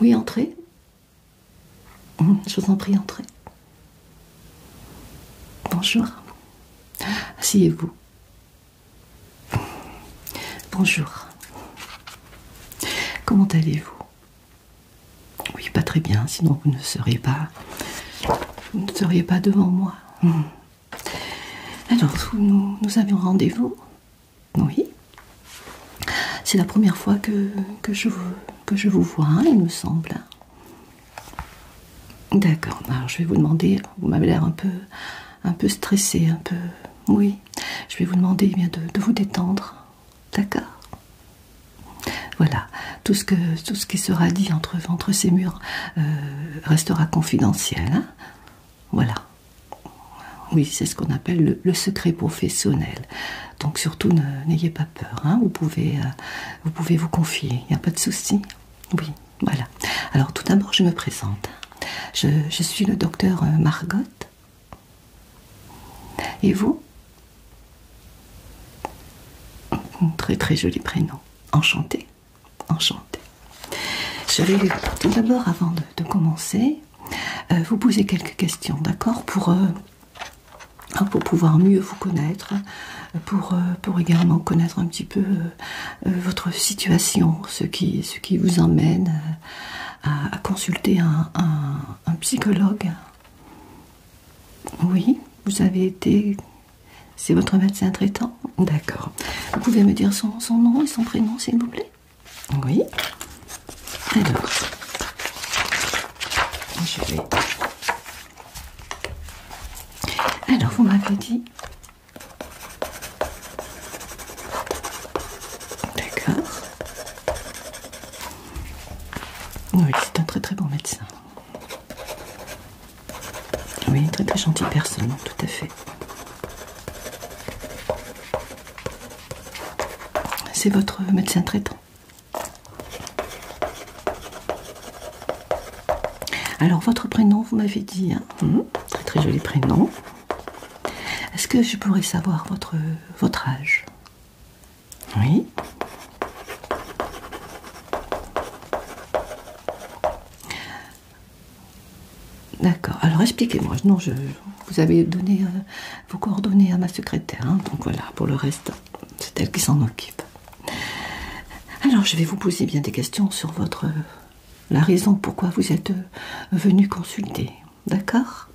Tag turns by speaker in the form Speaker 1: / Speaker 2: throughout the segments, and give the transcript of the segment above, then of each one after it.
Speaker 1: Oui, entrez. Hum, je vous en prie, entrez. Bonjour. Asseyez-vous. Bonjour. Comment allez-vous oui, pas très bien, sinon vous ne seriez pas, vous ne seriez pas devant moi. Hmm. Alors, nous, nous avions rendez-vous. Oui. C'est la première fois que, que, je, vous vois, il me semble. D'accord, ben, alors je vais vous demander, vous m'avez l'air un peu, un peu stressé, un peu... Oui, je vais vous demander eh bien, de vous détendre. D'accord voilà, tout ce, qui sera dit entre, ces murs euh, restera confidentiel. Hein. voilà. Oui, c'est ce qu'on appelle le, secret professionnel. Donc surtout, n'ayez pas peur. Hein. Euh, vous, pouvez, vous confier, il n'y a pas de souci. Oui, voilà. Alors tout d'abord, je me présente. je suis le docteur euh, Margot. Et vous Très très joli prénom. Enchanté. Enchanté. Je vais tout d'abord, avant de, commencer, euh, vous poser quelques questions, d'accord pour, euh, pour pouvoir mieux vous connaître, pour, euh, pour également connaître un petit peu votre situation, ce qui, ce qui vous emmène à, consulter un psychologue. Oui, vous avez été. C'est votre médecin traitant D'accord. Vous pouvez me dire son, nom et son prénom, s'il vous plaît Oui. Alors, je vais. Alors, vous m'avez dit. D'accord. Oui, c'est un très très bon médecin. Oui, très très gentille personne, tout à fait. C'est votre médecin traitant. Alors, votre prénom, vous m'avez dit, hein. hum, très très joli prénom. Est-ce que je pourrais savoir votre âge oui. D'accord. Alors expliquez-moi. Non, je, vous avez donné euh, vos coordonnées à ma secrétaire. Hein, donc voilà, pour le reste, c'est elle qui s'en occupe. Alors je vais vous poser bien des questions sur votre euh, la raison pourquoi vous êtes euh, venu consulter. D'accord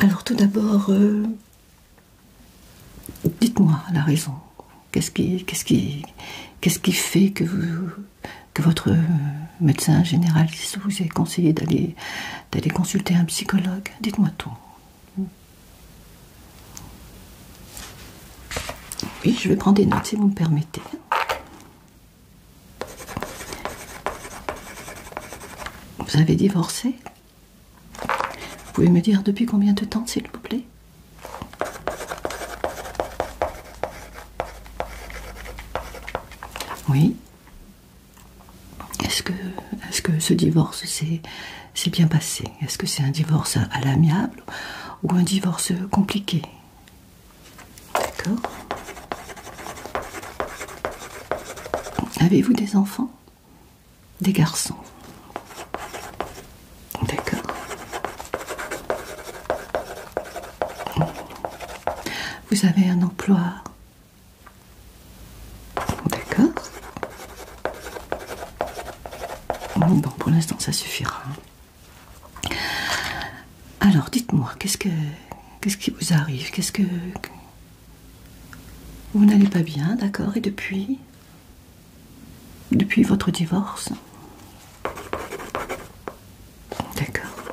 Speaker 1: Alors tout d'abord, Dites-moi la raison. Qu'est-ce qui, fait que, votre médecin généraliste vous ait conseillé d'aller, d'aller consulter un psychologue Dites-moi tout. Oui, je vais prendre des notes si vous me permettez. Vous avez divorcé vous pouvez me dire depuis combien de temps, s'il vous plaît Oui. Est-ce que, est -ce que ce divorce s'est bien passé Est-ce que c'est un divorce à l'amiable ou un divorce compliqué D'accord Avez-vous des enfants des garçons. D'accord. Vous avez un emploi. D'accord. Bon, pour l'instant, ça suffira. Alors, dites-moi, qu'est-ce que, qu'est-ce qui vous arrive Qu'est-ce que, vous n'allez pas bien, d'accord Et depuis Depuis votre divorce D'accord.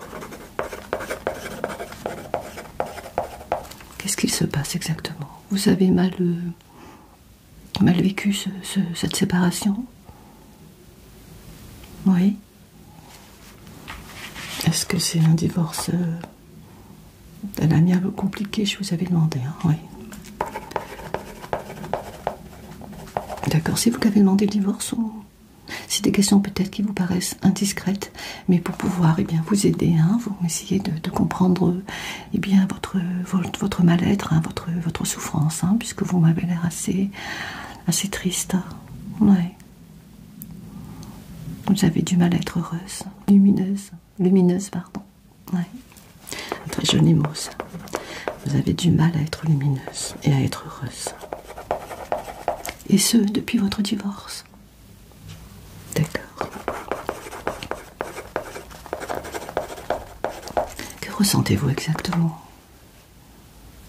Speaker 1: Qu'est-ce qu'il se passe exactement Vous avez mal, euh, vécu cette séparation Oui. Est-ce que c'est un divorce euh, elle a un peu compliqué, je vous avais demandé. Hein, D'accord, si vous avez demandé le divorce c'est des questions peut-être qui vous paraissent indiscrètes, mais pour pouvoir eh bien, vous aider, hein, vous essayez de, comprendre eh bien, votre, votre, mal-être, hein, votre, souffrance, puisque vous m'avez l'air assez, triste. Vous avez du mal à être heureuse, lumineuse lumineuse, pardon. oui. très jeune mot, Vous avez du mal à être lumineuse et à être heureuse. Et ce, depuis votre divorce. D'accord. Que ressentez-vous exactement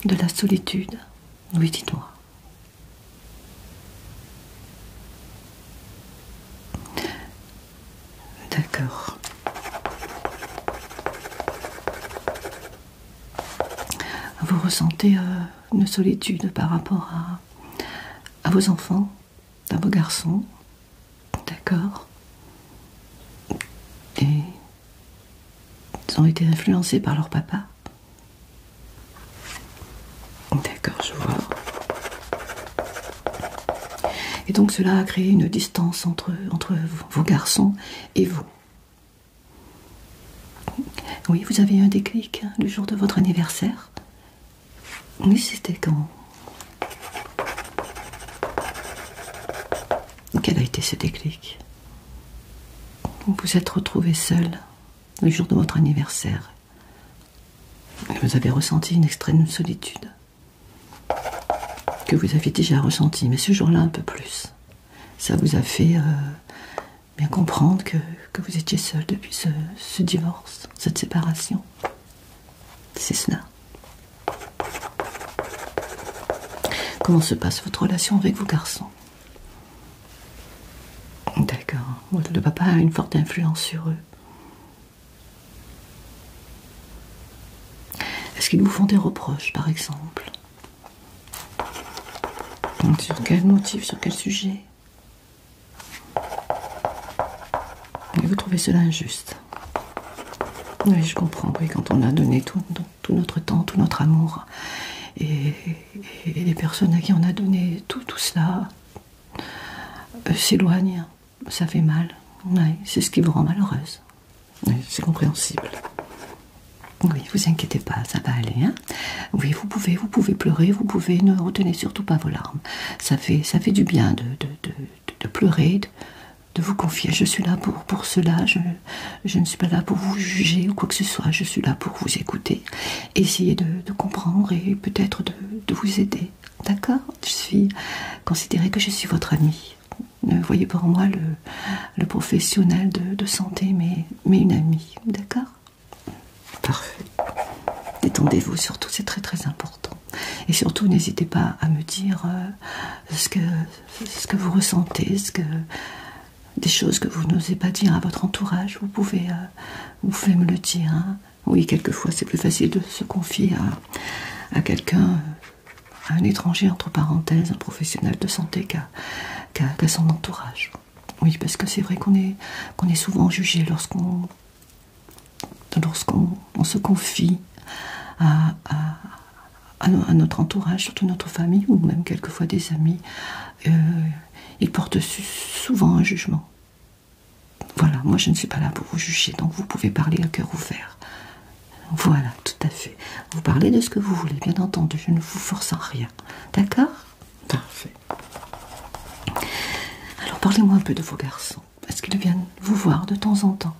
Speaker 1: De la solitude Oui, dites-moi. D'accord. Vous ressentez euh, une solitude par rapport à vos enfants, à vos garçons. D'accord. Et ils ont été influencés par leur papa. D'accord, je vois. Et donc cela a créé une distance entre, vos garçons et vous. Oui, vous avez eu un déclic hein, le jour de votre anniversaire. Mais c'était quand Quel a été ce déclic Vous vous êtes retrouvé seul le jour de votre anniversaire vous avez ressenti une extrême solitude, que vous aviez déjà ressenti, mais ce jour-là un peu plus. Ça vous a fait euh, bien comprendre que, vous étiez seul depuis ce divorce, cette séparation. C'est cela. Comment se passe votre relation avec vos garçons D'accord. Le papa a une forte influence sur eux. Est-ce qu'ils vous font des reproches, par exemple Sur quel motif, sur quel sujet vous trouvez cela injuste Oui, je comprends. Oui, quand on a donné tout, notre temps, tout notre amour, et, les personnes à qui on a donné tout, tout cela, euh, s'éloigne. Hein. Ça fait mal. c'est ce qui vous rend malheureuse. c'est compréhensible. Oui, vous inquiétez pas, ça va aller. Hein. oui, vous pouvez, vous pouvez pleurer, vous pouvez ne retenez surtout pas vos larmes. Ça fait, du bien de, pleurer, de, vous confier. Je suis là pour, cela. Je, je ne suis pas là pour vous juger ou quoi que ce soit. Je suis là pour vous écouter essayer de, comprendre et peut-être de, vous aider. D'accord Je suis considérée que je suis votre amie. Ne voyez pas en moi le, professionnel de, santé, mais, une amie. D'accord Parfait. Détendez-vous, surtout, c'est très très important. Et surtout, n'hésitez pas à me dire euh, ce, que, vous ressentez, ce que, des choses que vous n'osez pas dire à votre entourage. Vous pouvez euh, vous faites me le dire. Hein. Oui, quelquefois c'est plus facile de se confier à, quelqu'un, à un étranger, entre parenthèses, un professionnel de santé qu'à son entourage. Oui, parce que c'est vrai qu'on est, souvent jugé lorsqu'on se confie à, notre entourage, surtout notre famille ou même quelquefois des amis. Euh, ils portent souvent un jugement. Voilà, moi je ne suis pas là pour vous juger, donc vous pouvez parler à cœur ouvert. Voilà, tout à fait. Vous parlez de ce que vous voulez, bien entendu, je ne vous force en rien. D'accord Parfait. Alors parlez-moi un peu de vos garçons. Est-ce qu'ils viennent vous voir de temps en temps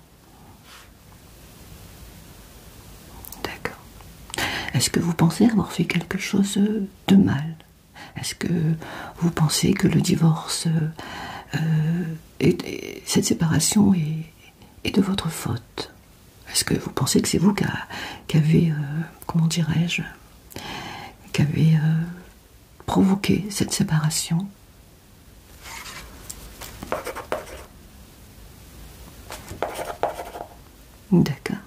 Speaker 1: D'accord. Est-ce que vous pensez avoir fait quelque chose de mal est-ce que vous pensez que le divorce, euh, cette séparation est, de votre faute Est-ce que vous pensez que c'est vous qui avez, euh, comment dirais-je, qui avez euh, provoqué cette séparation D'accord.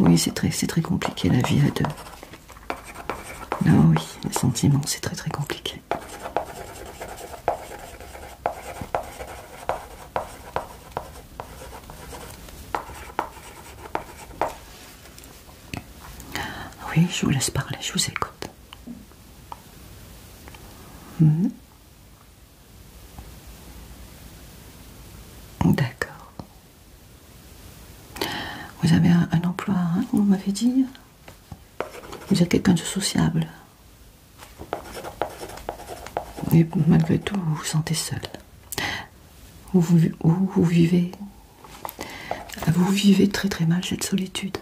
Speaker 1: Oui, c'est très, très compliqué la vie à deux. Ah oui, les sentiments, c'est très très compliqué. Oui, je vous laisse parler, je vous écoute. Hmm. D'accord. Vous avez un, emploi, hein, vous m'avez dit Vous êtes quelqu'un de sociable. Et malgré tout, vous vous sentez seul. vous, vivez Vous vivez très très mal cette solitude.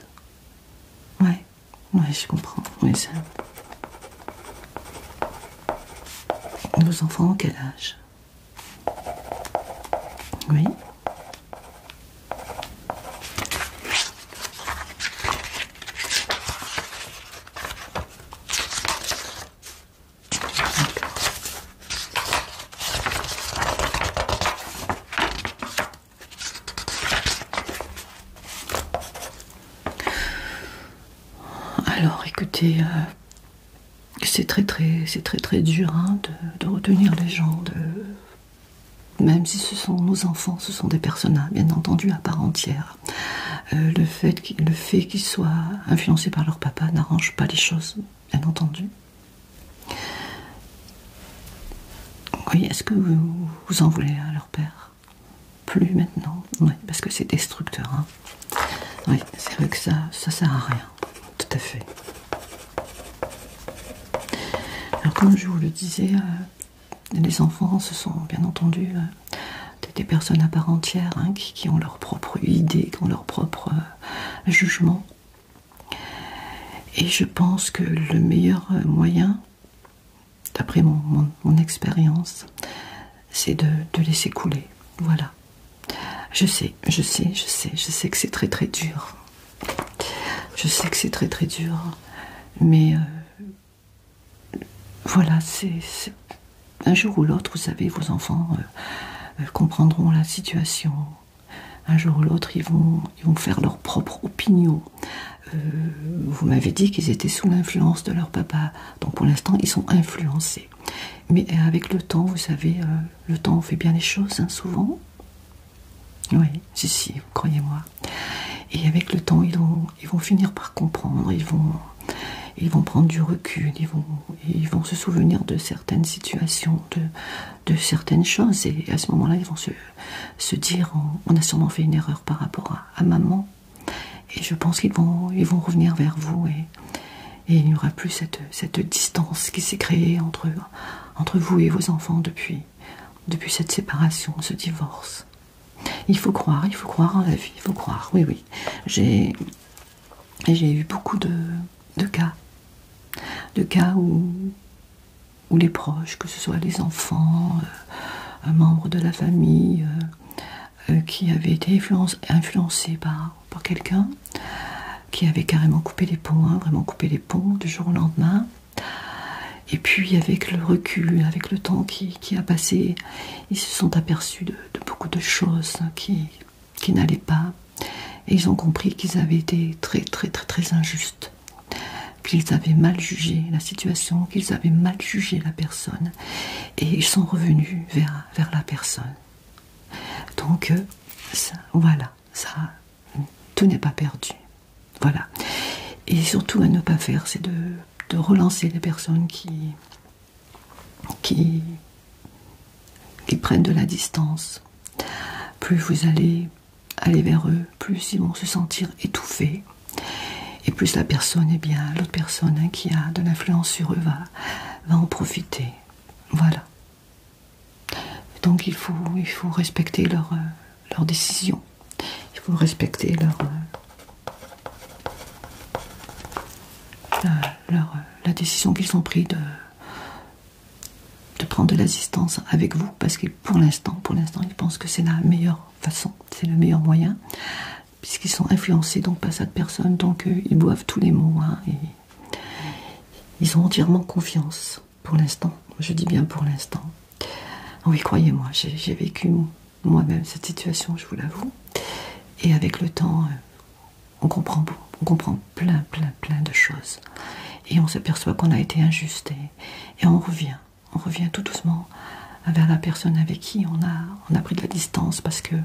Speaker 1: Ouais, ouais, je comprends. Oui, ça... Nos enfants, quel âge Oui. Alors écoutez, euh, c'est très très c'est très très dur hein, de, retenir les gens même si ce sont nos enfants ce sont des personnages bien entendu à part entière euh, le fait qu'ils fait soient influencés par leur papa n'arrange pas les choses bien entendu oui est-ce que vous, vous en voulez à leur père plus maintenant oui parce que c'est destructeur hein. Oui, c'est vrai que ça, ça sert à rien. Tout à fait. Alors comme je vous le disais, euh, les enfants, ce sont bien entendu euh, des, personnes à part entière hein, qui, ont leur propre idée, qui ont leur propre euh, jugement. Et je pense que le meilleur moyen, d'après mon expérience, c'est de, laisser couler. Voilà. Je sais, je sais, je sais, je sais que c'est très très dur. Je sais que c'est très très dur. Mais euh, voilà, c'est un jour ou l'autre, vous savez, vos enfants euh, euh, comprendront la situation. Un jour ou l'autre, ils vont, faire leur propre opinion. vous m'avez dit qu'ils étaient sous l'influence de leur papa. Donc pour l'instant, ils sont influencés. Mais euh, avec le temps, vous savez, euh, le temps fait bien les choses, hein, souvent. Oui, si, si, croyez-moi. Et avec le temps, ils vont, ils vont finir par comprendre, ils vont, ils vont prendre du recul, ils vont, se souvenir de certaines situations, de, certaines choses. Et à ce moment-là, ils vont se, dire, on, a sûrement fait une erreur par rapport à maman, et je pense qu'ils vont, ils vont revenir vers vous et, il n'y aura plus cette, distance qui s'est créée entre, entre vous et vos enfants depuis, depuis cette séparation, ce divorce. Il faut croire, il faut croire en la vie, il faut croire, oui, oui. J'ai eu beaucoup de, cas, de cas où, où les proches, que ce soit les enfants, un euh, membre de la famille, euh, euh, qui avait été influencé par, quelqu'un qui avait carrément coupé les ponts, hein, vraiment coupé les ponts du jour au lendemain. Et puis avec le recul, avec le temps qui, a passé, ils se sont aperçus de, beaucoup de choses qui, qui n'allaient pas. Et ils ont compris qu'ils avaient été très très très très injustes, qu'ils avaient mal jugé la situation, qu'ils avaient mal jugé la personne. Et ils sont revenus vers vers la personne. Donc, euh, voilà, tout n'est pas perdu. Voilà. Et surtout à ne pas faire, c'est de, relancer les personnes qui, qui, prennent de la distance. Plus vous allez aller vers eux, plus ils vont se sentir étouffés. Et plus la personne, eh bien, l'autre personne hein, qui a de l'influence sur eux va, va en profiter. Voilà. Donc il faut, il faut respecter leur, euh, décision. Il faut respecter leur, euh, euh, la décision qu'ils ont pris de, prendre de l'assistance avec vous parce que pour l'instant, pour l'instant, ils pensent que c'est la meilleure façon, c'est le meilleur moyen puisqu'ils sont influencés donc par cette personne, donc euh, ils boivent tous les mots. Hein, et ils ont entièrement confiance pour l'instant. Je dis bien pour l'instant. Ah oui, croyez-moi, j'ai vécu moi-même cette situation, je vous l'avoue. Et avec le temps, euh, on comprend, on comprend plein, plein, plein de choses. Et on s'aperçoit qu'on a été injuste. et on revient, on revient tout doucement vers la personne avec qui on a, on a pris de la distance parce que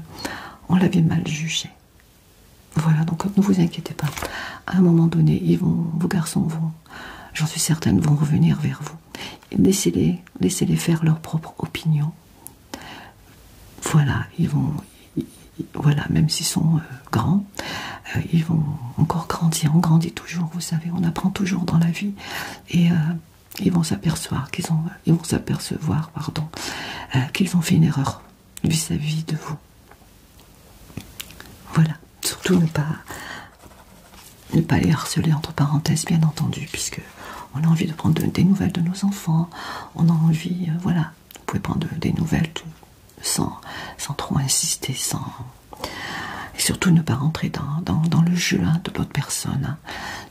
Speaker 1: on l'avait mal jugé. Voilà, donc ne vous inquiétez pas. À un moment donné, ils vos garçons vont, j'en suis certaine, vont revenir vers vous. Laissez-les, laissez-les faire leur propre opinion. Voilà, ils voilà, même s'ils sont euh, grands, euh, ils vont encore grandir. On grandit toujours, vous savez, on apprend toujours dans la vie. Et euh, ils vont s'apercevoir qu'ils ont, ils vont s'apercevoir, pardon, euh, qu'ils ont fait une erreur vis-à-vis de vous. Voilà. Surtout ne pas, ne pas les harceler entre parenthèses, bien entendu, puisque on a envie de prendre des nouvelles de nos enfants. On a envie, euh, voilà. Vous pouvez prendre des nouvelles sans, sans trop insister, sans et surtout ne pas rentrer dans, dans, le jeu hein, de votre personne, hein.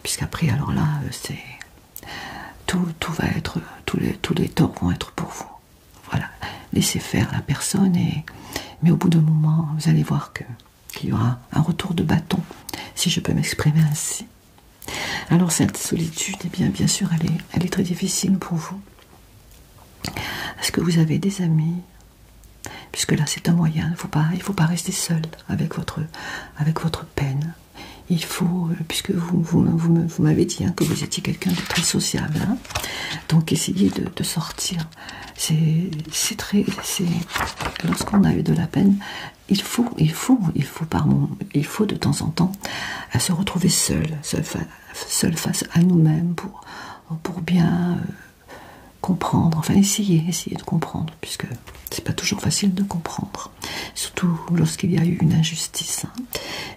Speaker 1: puisqu'après alors là euh, c'est tout, va être, tous les, torts vont être pour vous. Voilà, laissez faire la personne, et, mais au bout d'un moment, vous allez voir qu'il y aura un retour de bâton, si je peux m'exprimer ainsi. Alors cette solitude, eh bien, bien sûr, elle est, très difficile pour vous. Est-ce que vous avez des amis Puisque là, c'est un moyen. Il ne faut pas, rester seul avec votre, avec votre peine. Il faut, euh, puisque vous, vous, m'avez dit hein, que vous étiez quelqu'un de très sociable, hein. donc essayer de, sortir. C'est très. Lorsqu'on a eu de la peine, il faut, il faut, il faut, pardon, il faut de temps en temps se retrouver seul, seul, face à nous-mêmes pour, pour bien euh, comprendre, enfin essayer, essayer de comprendre, puisque c'est pas toujours facile de comprendre, surtout lorsqu'il y a eu une injustice. Hein.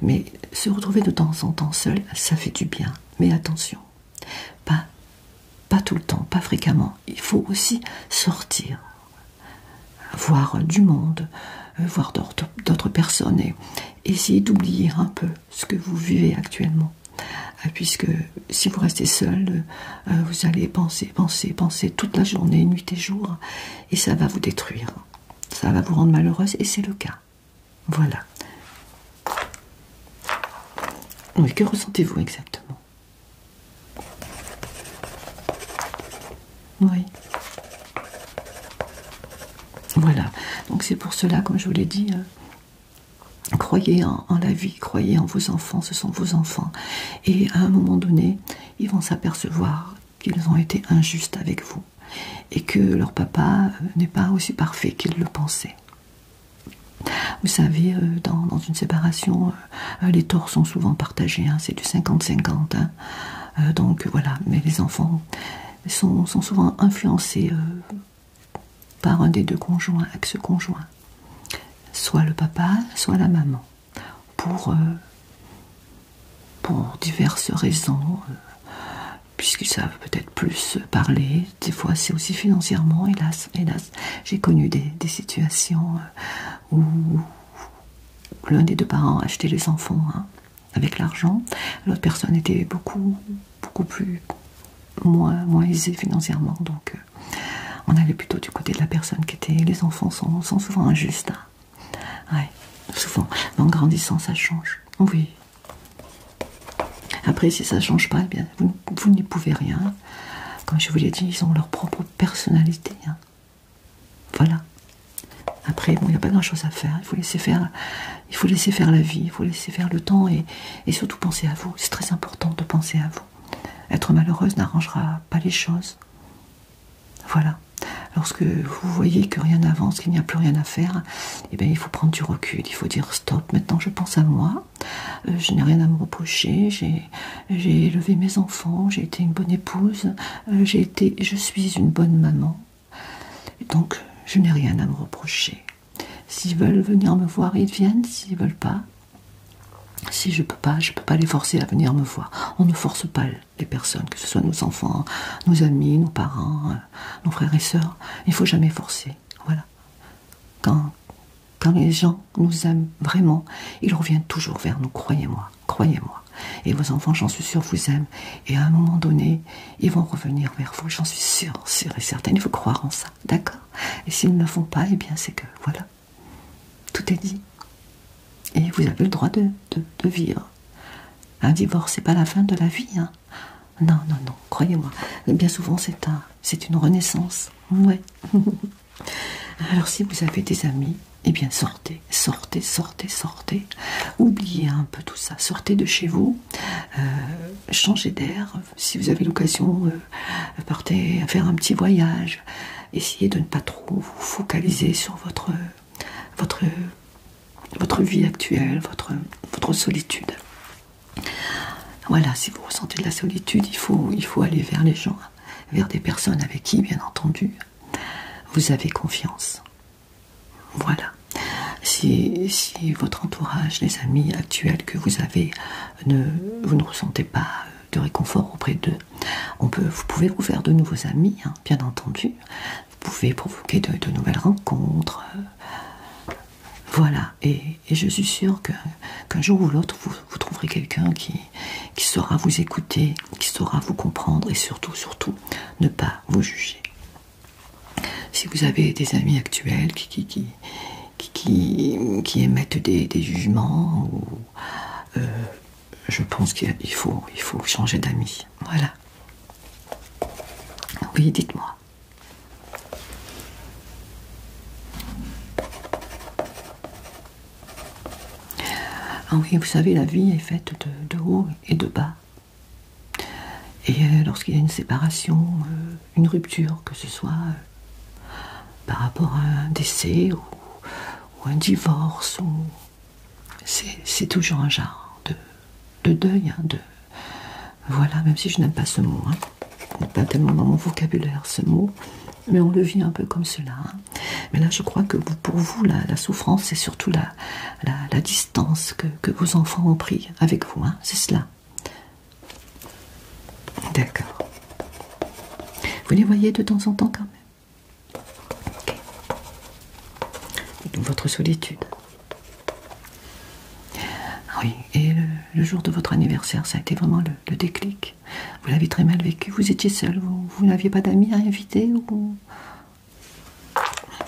Speaker 1: Mais se retrouver de temps en temps seul, ça fait du bien. Mais attention, pas, pas tout le temps, pas fréquemment. Il faut aussi sortir, voir du monde, euh, voir d'autres personnes et essayer d'oublier un peu ce que vous vivez actuellement. Ah, puisque si vous restez seul, euh, euh, vous allez penser, penser, penser toute la journée, nuit et jour, et ça va vous détruire. Ça va vous rendre malheureuse, et c'est le cas. Voilà. Oui, que ressentez-vous exactement Oui. Voilà. Donc c'est pour cela, comme je vous l'ai dit, euh, croyez en la vie, croyez en vos enfants, ce sont vos enfants et à un moment donné, ils vont s'apercevoir qu'ils ont été injustes avec vous et que leur papa euh, n'est pas aussi parfait qu'ils le pensaient. Vous savez, euh, dans, une séparation, euh, les torts sont souvent partagés, hein, c'est du 50-50. Hein. donc voilà, mais les enfants sont, souvent influencés par un des deux conjoints, ce conjoint. Soit le papa, soit la maman pour, euh, pour diverses raisons, euh, puisqu'ils savent peut-être plus parler. Des fois, c'est aussi financièrement, hélas, hélas. J'ai connu des, situations euh, où l'un des deux parents achetait les enfants hein, avec l'argent, l'autre personne était beaucoup, beaucoup plus moins, moins aisée financièrement, donc on allait plutôt du côté de la personne qui était. Les enfants sont, souvent injustes. Hein. souvent. Mais en grandissant, ça change. Oui. Après, si ça ne change pas, eh bien, vous, n'y pouvez rien. Comme je vous l'ai dit, ils ont leur propre personnalité. Hein. Voilà. Après, il n'y a pas grand-chose à faire. Il faut laisser faire. Il faut laisser faire la vie. Il faut laisser faire le temps et surtout penser à vous. C'est très important de penser à vous. Être malheureuse n'arrangera pas les choses. Voilà. Lorsque vous voyez que rien n'avance, qu'il n'y a plus rien à faire, eh bien, il faut prendre du recul, il faut dire stop, maintenant je pense à moi, euh, je n'ai rien à me reprocher, j'ai élevé mes enfants, j'ai été une bonne épouse, euh, j'ai été, je suis une bonne maman. donc je n'ai rien à me reprocher. S'ils veulent venir me voir, ils viennent, s'ils veulent pas, si je peux pas, je ne peux pas les forcer à venir me voir. On ne force pas les personnes, que ce soit nos enfants, nos amis, nos parents, euh, nos frères et sœurs. Il ne faut jamais forcer. Voilà. Quand, quand les gens nous aiment vraiment, ils reviennent toujours vers nous. Croyez-moi, croyez-moi. Et vos enfants, j'en suis sûre, vous aiment. Et à un moment donné, ils vont revenir vers vous. J'en suis sûre, sûre et certaine. Il faut croire en ça. D'accord Et s'ils ne le font pas, eh bien, c'est que voilà. Tout est dit. Et vous avez le droit de, vivre. Un divorce, c'est pas la fin de la vie. Hein. Non, non, non, croyez-moi. Bien souvent, c'est un, une renaissance. Ouais. Alors, si vous avez des amis, et eh bien, sortez, sortez, sortez, sortez. Oubliez un peu tout ça. Sortez de chez vous. Euh, changez d'air. Si vous avez l'occasion euh, euh, partez faire un petit voyage. Essayez de ne pas trop vous focaliser sur votre, votre, votre vie actuelle, votre, votre solitude. Voilà, si vous ressentez de la solitude, il faut, il faut aller vers les gens, vers des personnes avec qui, bien entendu, vous avez confiance. Voilà. Si, votre entourage, les amis actuels que vous avez, ne, vous ne ressentez pas euh, de réconfort auprès d'eux. On peut, vous pouvez vous faire de nouveaux amis, hein, bien entendu. Vous pouvez provoquer de, nouvelles rencontres. Euh, voilà. Et, je suis sûre qu'un jour ou l'autre, vous, trouverez quelqu'un qui, saura vous écouter, qui saura vous comprendre et surtout, surtout, ne pas vous juger. Si vous avez des amis actuels qui, émettent des, des jugements euh, je pense qu'il faut, il faut changer d'amis. Voilà. Oui, dites-moi. Ah oui, vous savez, la vie est faite de, de haut et de bas. Et euh, lorsqu'il y a une séparation, euh, une rupture, que ce soit par rapport à un décès ou, un divorce. C'est toujours un genre de, deuil. Hein, voilà, même si je n'aime pas ce mot. Hein. pas tellement dans mon vocabulaire ce mot. Mais on le vit un peu comme cela. Hein. Mais là, je crois que pour vous, la, souffrance, c'est surtout la, distance que, vos enfants ont pris avec vous. C'est cela. D'accord. Vous les voyez de temps en temps quand même votre solitude. Ah oui, et le, jour de votre anniversaire, ça a été vraiment le, déclic. Vous l'avez très mal vécu, vous étiez seul, vous, n'aviez pas d'amis à inviter ou...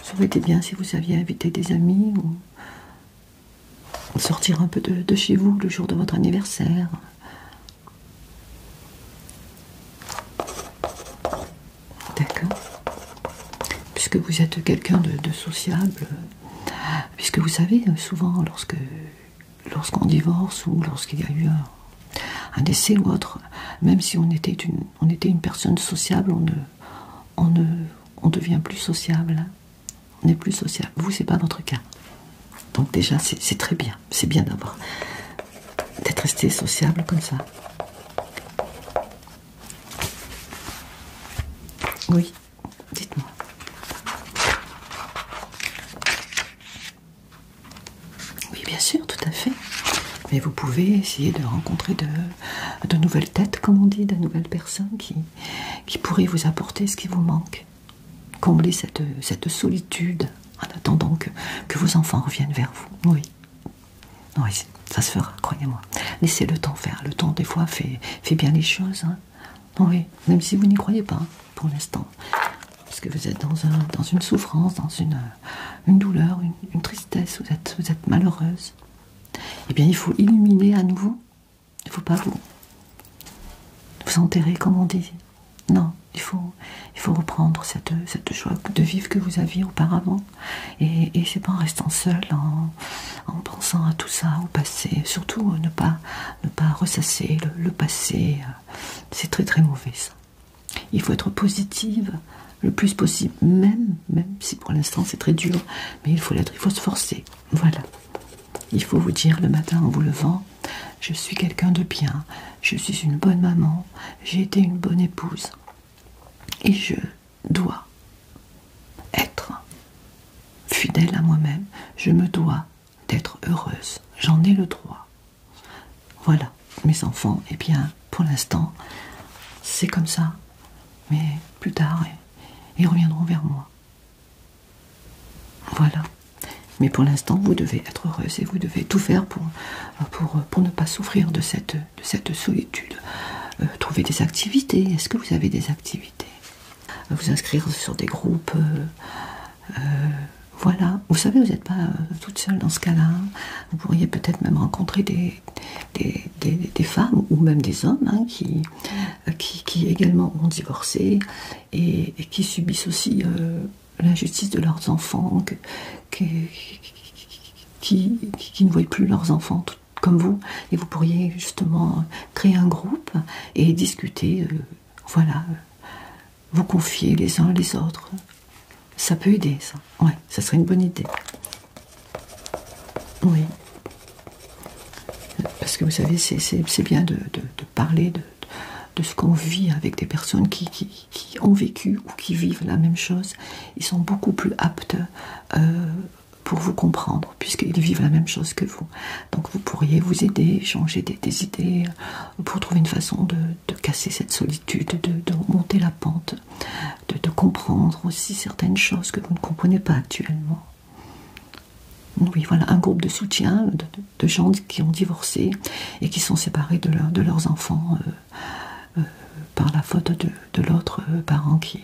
Speaker 1: Ça aurait bien si vous aviez invité des amis ou sortir un peu de chez vous le jour de votre anniversaire. D'accord Puisque vous êtes quelqu'un de, sociable, puisque vous savez, souvent, lorsqu'on divorce ou lorsqu'il y a eu un, décès ou autre, même si on était une, on était une personne sociable, on ne, on devient plus sociable on n'est plus sociable. Vous, c'est pas votre cas. Donc déjà, c'est très bien. C'est bien d'avoir d'être resté sociable comme ça. Oui, dites-moi. Oui, bien sûr, tout à fait. Mais vous pouvez essayer de rencontrer de, nouvelles têtes, comme on dit, de nouvelles personnes qui pourraient vous apporter ce qui vous manque combler cette, cette solitude en attendant que, vos enfants reviennent vers vous. Oui, ça se fera, croyez-moi. Laissez le temps faire. Le temps, des fois, fait, bien les choses. Hein. Oui, même si vous n'y croyez pas, hein, pour l'instant. Parce que vous êtes dans, un, dans une souffrance, dans une, une douleur, une, tristesse, vous êtes malheureuse. Eh bien, il faut illuminer à nouveau il ne faut pas vous, enterrer, comme on dit. Non, il faut, il faut reprendre cette, cette joie de vivre que vous aviez auparavant. Et, et c'est pas en restant seul, en, pensant à tout ça, au passé. Surtout euh, ne pas, ne pas ressasser le, passé. Euh, c'est très très mauvais ça. Il faut être positive le plus possible, même, même si pour l'instant c'est très dur, mais il faut l'être, il faut se forcer. Voilà. Il faut vous dire le matin en vous levant, je suis quelqu'un de bien, je suis une bonne maman, j'ai été une bonne épouse. Et je dois être fidèle à moi-même, je me dois d'être heureuse, j'en ai le droit. Voilà, mes enfants, eh bien, pour l'instant, c'est comme ça. Mais plus tard, ils reviendront vers moi. Voilà. Mais pour l'instant, vous devez être heureuse et vous devez tout faire pour, ne pas souffrir de cette, solitude. Euh, trouver des activités. Est-ce que vous avez des activités euh, Vous inscrire sur des groupes. Euh, voilà. Vous savez, vous n'êtes pas toute seule dans ce cas-là. Hein. Vous pourriez peut-être même rencontrer des, femmes ou même des hommes hein, qui, qui, également ont divorcé et, qui subissent aussi euh, l'injustice de leurs enfants, qui, ne voient plus leurs enfants comme vous. Et vous pourriez justement créer un groupe et discuter, euh, voilà, euh, vous confier les uns les autres. Ça peut aider, ça. Ouais, ça serait une bonne idée. Oui. Parce que vous savez, c'est bien de, parler de, ce qu'on vit avec des personnes qui, ont vécu ou qui vivent la même chose, ils sont beaucoup plus aptes euh, pour vous comprendre, puisqu'ils vivent la même chose que vous. Donc vous pourriez vous aider, changer des, idées, euh, pour trouver une façon de, casser cette solitude, de, monter la pente, de comprendre aussi certaines choses que vous ne comprenez pas actuellement oui, voilà, un groupe de soutien de, gens qui ont divorcé et qui sont séparés de, leurs enfants euh, euh, par la faute de, l'autre euh, parent qui,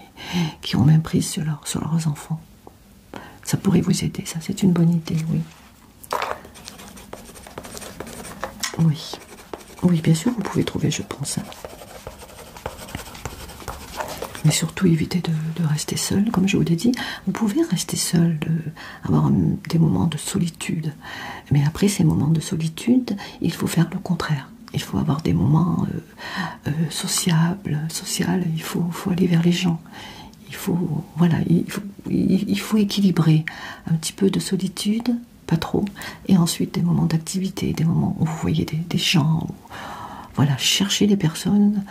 Speaker 1: qui ont même prise sur, leurs enfants. Ça pourrait vous aider, ça c'est une bonne idée, oui. Oui, oui, bien sûr, vous pouvez trouver, je pense. Hein. Mais surtout évitez de rester seul, comme je vous l'ai dit. Vous pouvez rester seul, avoir des moments de solitude. Mais après ces moments de solitude, il faut faire le contraire. Il faut avoir des moments euh, euh, sociables, social. Il faut, aller vers les gens. Il faut, voilà, il équilibrer un petit peu de solitude, pas trop, et ensuite des moments d'activité, des moments où vous voyez des gens, voilà, cherchez des personnes.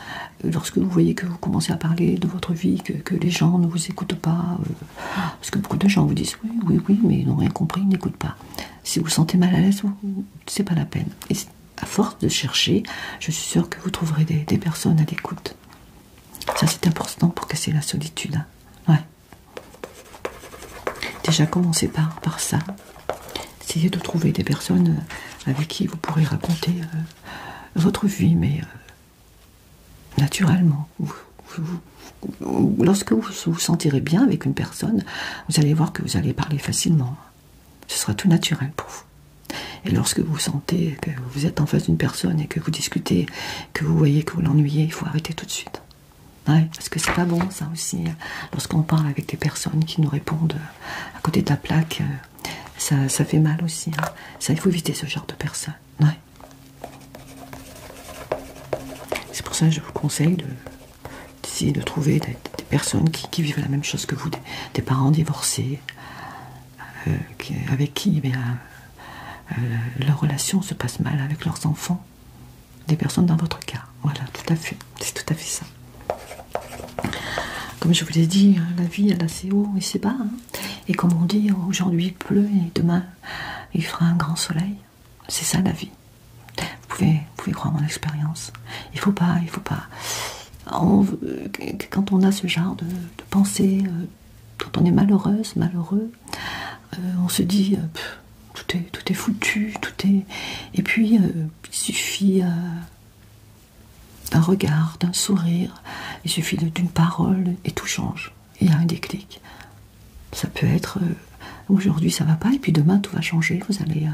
Speaker 1: Euh, lorsque vous voyez que vous commencez à parler de votre vie, que, les gens ne vous écoutent pas, euh, parce que beaucoup de gens vous disent oui, oui, oui, mais ils n'ont rien compris, ils n'écoutent pas. Si vous vous sentez mal à l'aise, c'est pas la peine. Et à force de chercher, je suis sûre que vous trouverez des, personnes à l'écoute. Ça, c'est important pour casser la solitude. Ouais. Déjà, commencez par, par ça. Essayez de trouver des personnes euh, avec qui vous pourrez raconter votre vie, mais euh, naturellement. lorsque vous vous sentirez bien avec une personne, vous allez voir que vous allez parler facilement. Ce sera tout naturel pour vous. Et lorsque vous sentez que vous êtes en face d'une personne et que vous discutez, que vous voyez que vous l'ennuyez, il faut arrêter tout de suite. parce que c'est pas bon ça aussi. Hein, lorsqu'on parle avec des personnes qui nous répondent euh, à côté de la plaque, euh, ça, fait mal aussi. Hein. Ça, il faut éviter ce genre de personnes. C'est pour ça que je vous conseille d'essayer de, trouver des, personnes qui, vivent la même chose que vous, des, parents divorcés, euh, avec qui eh euh, leur relation se passe mal avec leurs enfants, des personnes dans votre cas. Voilà, tout à fait, c'est tout à fait ça. Comme je vous l'ai dit, hein, la vie elle assez haut et c'est bas. Hein. Et comme on dit, aujourd'hui il pleut et demain il fera un grand soleil. C'est ça la vie. Vous pouvez, pouvez croire mon expérience. Il faut pas, il faut pas. quand on a ce genre de, pensée, quand euh, on est malheureuse, malheureux, euh, on se dit euh, tout, est, tout est foutu, tout est. Et puis il suffit un regard, d'un sourire, il suffit d'une parole et tout change. Il y a un déclic. Ça peut être euh, aujourd'hui ça va pas et puis demain tout va changer. Vous allez. Euh,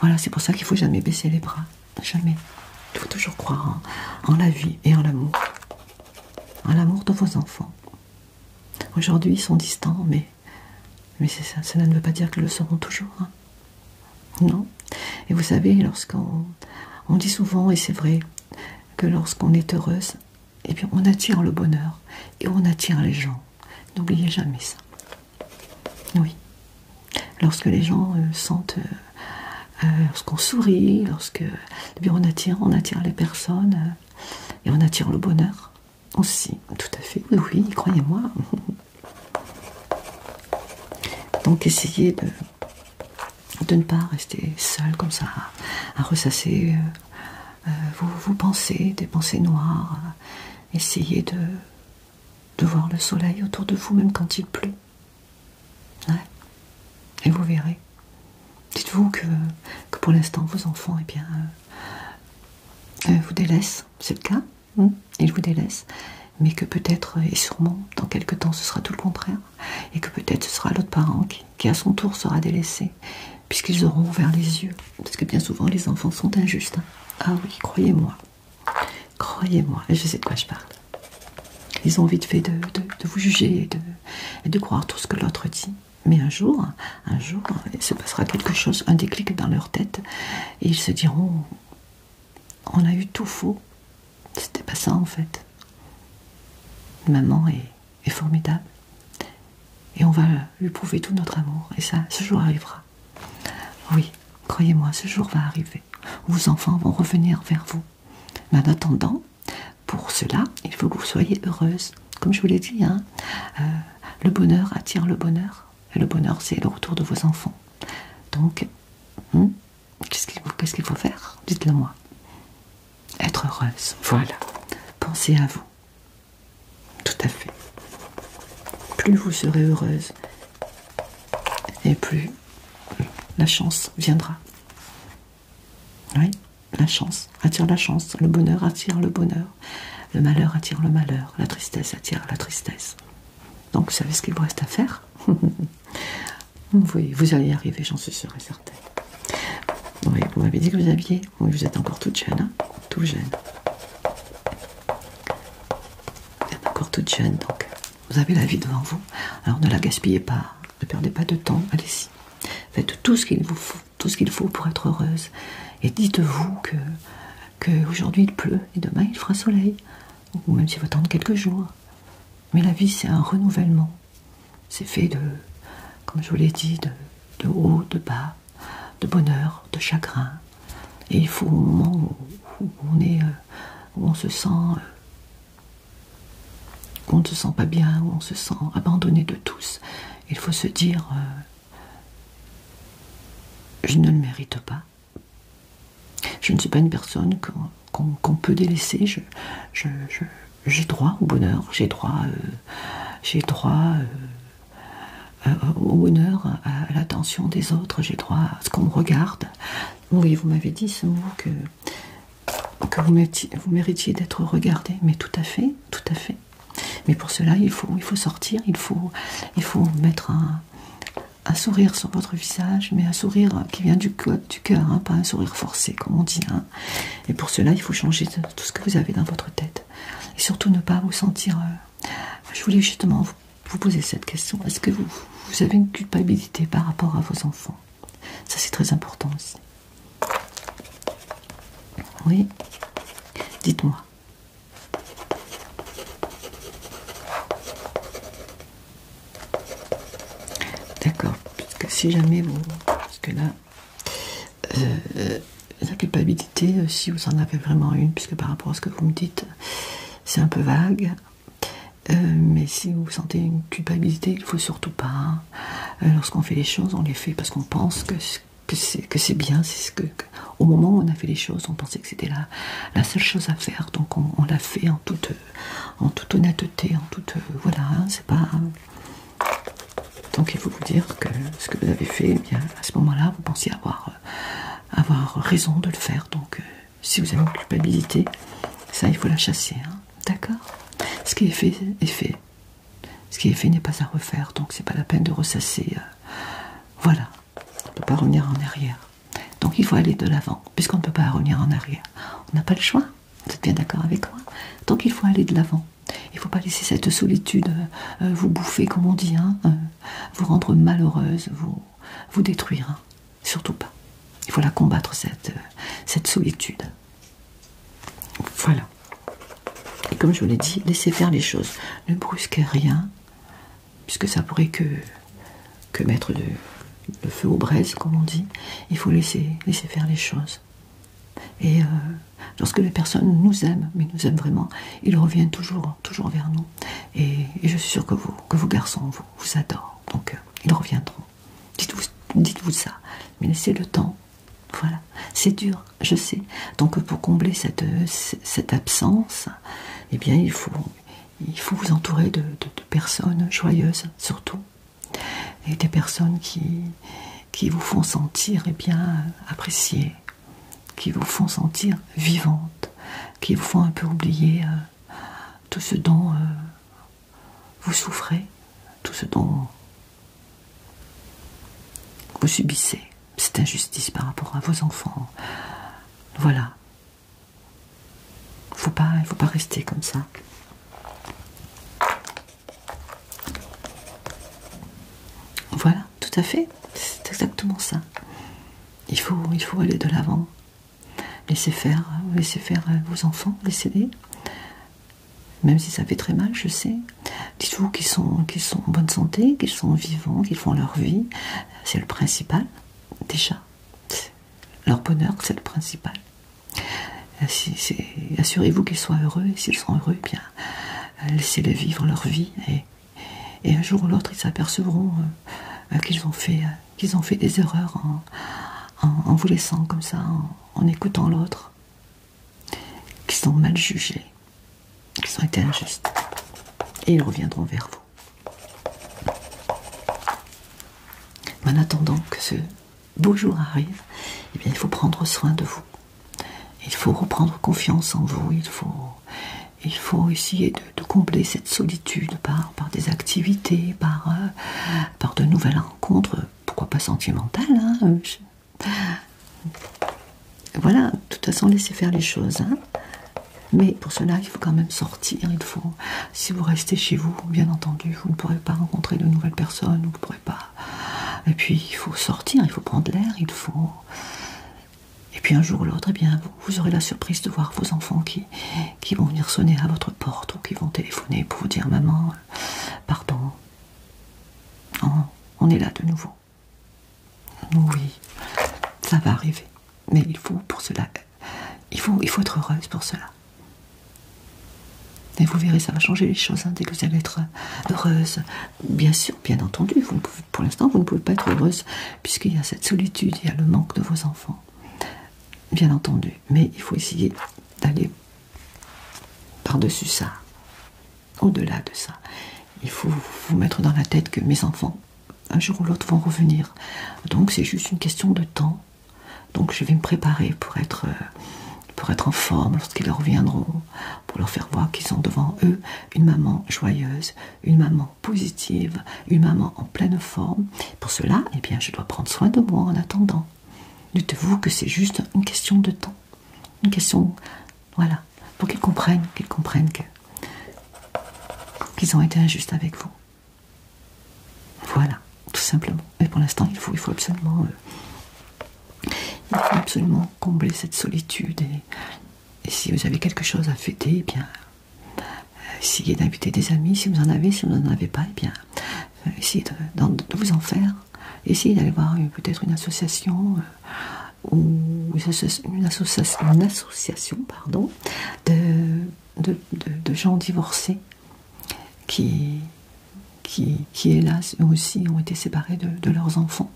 Speaker 1: voilà, c'est pour ça qu'il faut jamais baisser les bras. Jamais. Il faut toujours croire en, la vie et en l'amour. En l'amour de vos enfants. Aujourd'hui ils sont distants, mais, mais ça, cela ne veut pas dire qu'ils le seront toujours. Hein. Non Et vous savez, lorsqu'on on dit souvent, et c'est vrai, que lorsqu'on est heureuse, eh bien, on attire le bonheur et on attire les gens. N'oubliez jamais ça. Oui. Lorsque les gens euh, sentent, euh, euh, lorsqu'on sourit, lorsque, eh bien, on attire, on attire les personnes et on attire le bonheur aussi. Tout à fait. Oui, croyez-moi. Donc essayez de, ne pas rester seul comme ça, à ressasser euh, euh, vos, pensées, des pensées noires. Euh, essayez de, voir le soleil autour de vous même quand il pleut. Et vous verrez. Dites-vous que, pour l'instant vos enfants, et eh bien, vous délaissent, c'est le cas. Hein, ils vous délaissent, mais que peut-être et sûrement dans quelques temps ce sera tout le contraire, et que peut-être ce sera l'autre parent qui, à son tour sera délaissé, puisqu'ils auront ouvert les yeux, parce que bien souvent les enfants sont injustes. Hein. Ah oui, croyez-moi, croyez-moi, je sais de quoi je parle. Ils ont vite fait de, vous juger et de, de croire tout ce que l'autre dit. Mais un jour, un jour, il se passera quelque chose, un déclic dans leur tête, et ils se diront on a eu tout faux. C'était pas ça en fait. Maman est, formidable. Et on va lui prouver tout notre amour. Et ça, ce jour arrivera. Oui, croyez-moi, ce jour va arriver. Vos enfants vont revenir vers vous. Mais en attendant, pour cela, il faut que vous soyez heureuse. Comme je vous l'ai dit, hein, euh, le bonheur attire le bonheur le bonheur, c'est le retour de vos enfants. Donc, hmm, qu'est-ce qu'il faut faire Dites-le moi. Être heureuse. Voilà. Pensez à vous. Tout à fait. Plus vous serez heureuse, et plus la chance viendra. Oui, la chance attire la chance, le bonheur attire le bonheur, le malheur attire le malheur, la tristesse attire la tristesse. Donc vous savez ce qu'il vous reste à faire. oui, vous allez y arriver, j'en suis sûre et certaine. Oui, vous m'avez dit que vous aviez. Oui, vous êtes encore toute jeune, hein Tout jeune. Vous êtes encore toute jeune, donc vous avez la vie devant vous. Alors ne la gaspillez pas, ne perdez pas de temps, allez-y. Faites tout ce qu'il vous faut, tout ce qu'il faut pour être heureuse. Et dites-vous que, que aujourd'hui il pleut et demain il fera soleil ou même s'il faut attendre quelques jours. Mais la vie, c'est un renouvellement. C'est fait de, comme je vous l'ai dit, de, haut, de bas, de bonheur, de chagrin. Et il faut au moment où, on est, euh, on se sent, euh, où on ne se sent pas bien, où on se sent abandonné de tous, il faut se dire, euh, je ne le mérite pas. Je ne suis pas une personne qu'on peut délaisser. J'ai droit au bonheur, j'ai droit, euh, droit euh, euh, au bonheur, à, l'attention des autres, j'ai droit à ce qu'on me regarde. Oui, vous m'avez dit ce que, vous, méritiez, d'être regardé, mais tout à fait, tout à fait. Mais pour cela, il faut, il faut sortir, il faut, il faut mettre un, un sourire sur votre visage, mais un sourire qui vient du, cœur, hein, pas un sourire forcé comme on dit. Hein. Et pour cela, il faut changer tout ce que vous avez dans votre tête. Et surtout ne pas vous sentir... Euh, je voulais justement vous, poser cette question. Est-ce que vous avez une culpabilité par rapport à vos enfants Ça c'est très important aussi. Oui Dites-moi. D'accord, parce que si jamais vous. Parce que là, euh, euh, la culpabilité, euh, si vous en avez vraiment une, puisque par rapport à ce que vous me dites, c'est un peu vague. mais si vous sentez une culpabilité, il ne faut surtout pas. Hein. Lorsqu'on fait les choses, on les fait parce qu'on pense que, que c'est bien, c'est ce que, au moment où on a fait les choses, on pensait que c'était la, seule chose à faire, donc on, l'a fait en toute, en toute honnêteté, en toute. Euh, voilà, hein, c'est pas. Donc il faut vous dire que ce que vous avez fait, eh à ce moment-là, vous pensiez avoir, euh, avoir raison de le faire. Donc euh, si vous avez une culpabilité, ça il faut la chasser. Hein. D'accord Ce qui est fait est fait. Ce qui est fait n'est pas à refaire, donc c'est pas la peine de ressasser. voilà. On ne peut pas revenir en arrière. Donc il faut aller de l'avant, puisqu'on ne peut pas revenir en arrière. On n'a pas le choix, vous êtes bien d'accord avec moi Donc il faut aller de l'avant. Il ne faut pas laisser cette solitude euh, vous bouffer, comme on dit, hein, euh, vous rendre malheureuse, vous, détruire. Hein. Surtout pas. Il faut la combattre, cette, euh, cette solitude. Voilà. Et comme je vous l'ai dit, laissez faire les choses. Ne brusquez rien puisque ça pourrait que, que mettre le feu aux braises, comme on dit. Il faut laisser, laisser faire les choses. Et euh, lorsque les personnes nous aiment, mais nous aiment vraiment, ils reviennent toujours, toujours vers nous. Et, je suis sûre que vous, que vos garçons vous, adorent. Donc euh, ils reviendront. Dites-vous dites -vous ça. Mais laissez le temps. Voilà. C'est dur, je sais. Donc pour combler cette, cette absence, eh bien il faut, il faut vous entourer de, personnes joyeuses surtout et des personnes qui, vous font sentir eh bien appréciées, qui vous font sentir vivantes, qui vous font un peu oublier euh, tout ce dont euh, vous souffrez, tout ce dont vous subissez cette injustice par rapport à vos enfants. Voilà, il pas, il faut pas rester comme ça. Voilà, tout à fait. C'est exactement ça. Il faut, aller de l'avant. Laissez faire, faire vos enfants, laissez-les. Même si ça fait très mal, je sais. Dites-vous qu'ils sont, sont en bonne santé, qu'ils sont vivants, qu'ils font leur vie. C'est le principal. Déjà, leur bonheur, c'est le principal. Euh, assurez-vous qu'ils soient heureux, et s'ils sont heureux, eh bien, euh, laissez-les vivre leur vie, et, un jour ou l'autre, ils s'apercevront euh, qu'ils ont, fait, des erreurs en, vous laissant comme ça, en écoutant l'autre, qu'ils sont mal jugés, qu'ils ont été injustes, et ils reviendront vers vous. En attendant que ce beau jour arrive, eh il faut prendre soin de vous. Il faut reprendre confiance en vous. Il faut, essayer de, combler cette solitude par, des activités, euh, par, de nouvelles rencontres. Pourquoi pas sentimentales hein, Voilà, Tout toute façon, laisser faire les choses. Hein. Mais pour cela, il faut quand même sortir. Il faut, si vous restez chez vous, bien entendu, vous ne pourrez pas rencontrer de nouvelles personnes, vous ne pourrez pas. Et puis, il faut sortir, il faut prendre l'air, il faut. Et puis un jour ou l'autre, eh bien, vous, aurez la surprise de voir vos enfants qui, vont venir sonner à votre porte ou qui vont téléphoner pour vous dire maman, pardon, on est là de nouveau. Oui, ça va arriver. Mais il faut pour cela. Il faut, il faut être heureuse pour cela. Et vous verrez, ça va changer les choses hein, dès que vous allez être heureuse. Bien sûr, bien entendu, pour l'instant, vous ne pouvez pas être heureuse puisqu'il y a cette solitude, il y a le manque de vos enfants. Bien entendu, mais il faut essayer d'aller par-dessus ça, au-delà de ça. Il faut vous mettre dans la tête que mes enfants un jour ou l'autre vont revenir. Donc c'est juste une question de temps. Donc je vais me préparer pour être, euh, pour être en forme lorsqu'ils reviendront, pour leur faire voir qu'ils ont devant eux une maman joyeuse, une maman positive, une maman en pleine forme. Pour cela, eh bien, je dois prendre soin de moi en attendant. Dites-vous que c'est juste une question de temps. Une question, voilà, pour qu'ils comprennent, qu'ils comprennent qu'ils ont été injustes avec vous. Voilà, tout simplement. Mais pour l'instant, il faut, absolument, euh, absolument combler cette solitude. Et, si vous avez quelque chose à fêter, eh bien, euh, essayez d'inviter des amis. Si vous en avez, si vous n'en avez pas, et eh bien, euh, essayez de, vous en faire. Essayez d'aller voir peut-être une association ou une association, pardon, de, gens divorcés qui, hélas eux aussi ont été séparés de, leurs enfants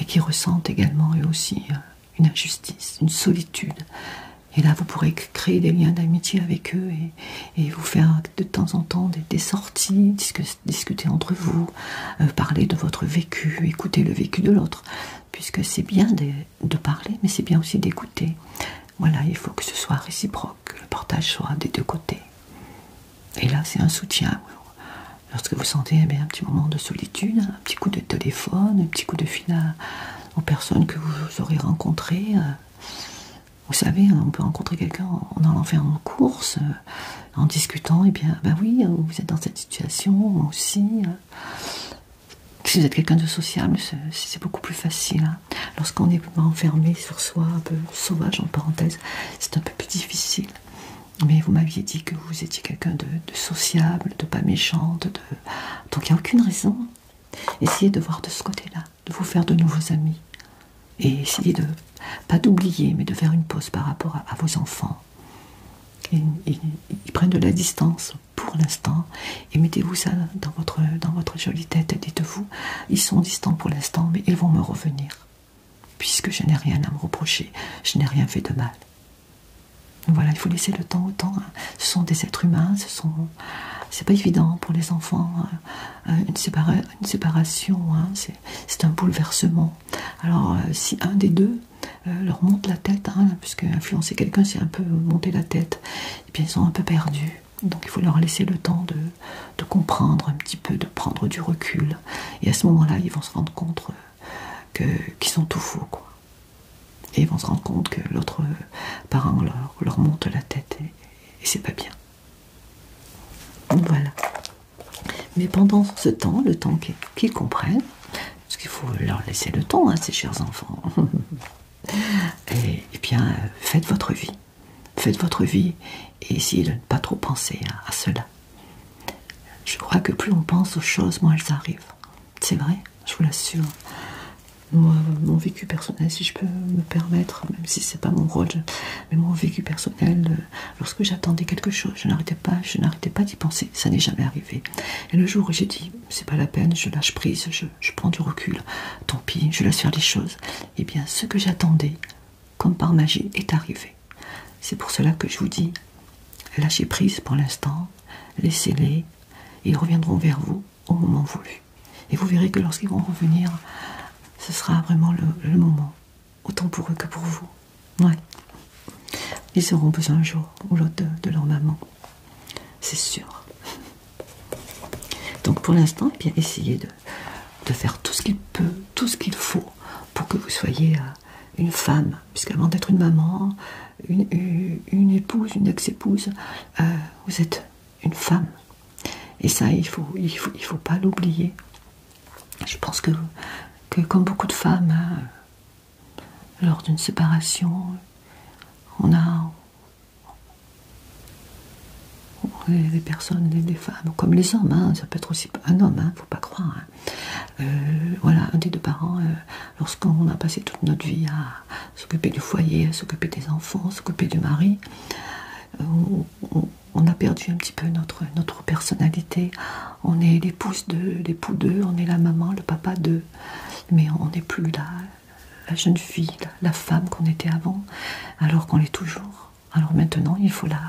Speaker 1: et qui ressentent également eux aussi euh, une injustice, une solitude. Et là, vous pourrez créer des liens d'amitié avec eux et, vous faire de temps en temps des, sorties, discuter entre vous, euh, parler de votre vécu, écouter le vécu de l'autre puisque c'est bien de, parler, mais c'est bien aussi d'écouter. Voilà, il faut que ce soit réciproque, que le partage soit des deux côtés. Et là, c'est un soutien. Lorsque vous sentez eh un petit moment de solitude, un petit coup de téléphone, un petit coup de fil à, aux personnes que vous aurez rencontrées. Euh, vous savez, on peut rencontrer quelqu'un en l'enfer en course, euh, en discutant, et eh bien, ben oui, hein, vous êtes dans cette situation, moi aussi. Euh. Si vous êtes quelqu'un de sociable, c'est beaucoup plus facile. Hein. Lorsqu'on est enfermé sur soi, un peu sauvage en parenthèse, c'est un peu plus difficile. Mais vous m'aviez dit que vous étiez quelqu'un de, sociable, de pas méchant, de... donc il n'y a aucune raison. Essayez de voir de ce côté-là, de vous faire de nouveaux amis. Et essayez de, pas d'oublier, mais de faire une pause par rapport à vos enfants, ils, prennent de la distance pour l'instant et mettez-vous ça dans votre, dans votre jolie tête. Dites-vous, ils sont distants pour l'instant, mais ils vont me revenir puisque je n'ai rien à me reprocher, je n'ai rien fait de mal. Voilà, il faut laisser le temps au temps. Hein. Ce sont des êtres humains, ce sont. C'est pas évident pour les enfants. Hein. Euh, une, séparation, hein, c'est un bouleversement. Alors, euh, si un des deux euh, leur monte la tête, hein, puisque influencer quelqu'un c'est un peu monter la tête, et puis ils sont un peu perdus. Donc il faut leur laisser le temps de, comprendre un petit peu, de prendre du recul. Et à ce moment-là, ils vont se rendre compte euh, qu'ils sont tout faux. Quoi. Et ils vont se rendre compte que l'autre euh, parent leur, monte la tête et c'est pas bien. Voilà. Mais pendant ce temps, le temps qu'ils comprennent, parce qu'il faut leur laisser le temps, hein, ces chers enfants, et, eh bien faites votre vie. Faites votre vie et essayez de ne pas trop penser à, cela. Je crois que plus on pense aux choses, moins elles arrivent. C'est vrai, je vous l'assure. Moi, mon vécu personnel, si je peux me permettre, même si c'est pas mon rôle, mais mon vécu personnel, euh, Lorsque j'attendais quelque chose, je n'arrêtais pas, je n'arrêtais pas d'y penser. Ça n'est jamais arrivé. Et le jour où j'ai dit, c'est pas la peine, je lâche prise, je, prends du recul, tant pis, je laisse faire les choses. Eh bien, ce que j'attendais, comme par magie, est arrivé. C'est pour cela que je vous dis, lâchez prise pour l'instant, laissez-les, ils reviendront vers vous au moment voulu. Et vous verrez que lorsqu'ils vont revenir, ce sera vraiment le moment autant pour eux que pour vous. Ouais. Ils auront besoin un jour ou l'autre de, leur maman. C'est sûr. Donc pour l'instant, eh bien essayez de, de faire tout ce qu'il peut, tout ce qu'il faut pour que vous soyez euh, une femme. Puisqu'avant d'être une maman, une, épouse, une ex-épouse, euh, vous êtes une femme. Et ça, il ne faut, il faut, pas l'oublier. Je pense que, que comme beaucoup de femmes, euh, lors d'une séparation, on a des personnes, des, femmes, comme les hommes, hein. ça peut être aussi un homme, il hein, ne faut pas croire. Hein. Euh, voilà, un des deux parents, euh, lorsqu'on a passé toute notre vie à s'occuper du foyer, à s'occuper des enfants, s'occuper du mari, euh, on, a perdu un petit peu notre personnalité, on est l'épouse de l'époux d'eux, on est la maman, le papa d'eux, mais on n'est plus là. la jeune fille, la, femme qu'on était avant, alors qu'on l'est toujours. Alors maintenant, il faut la,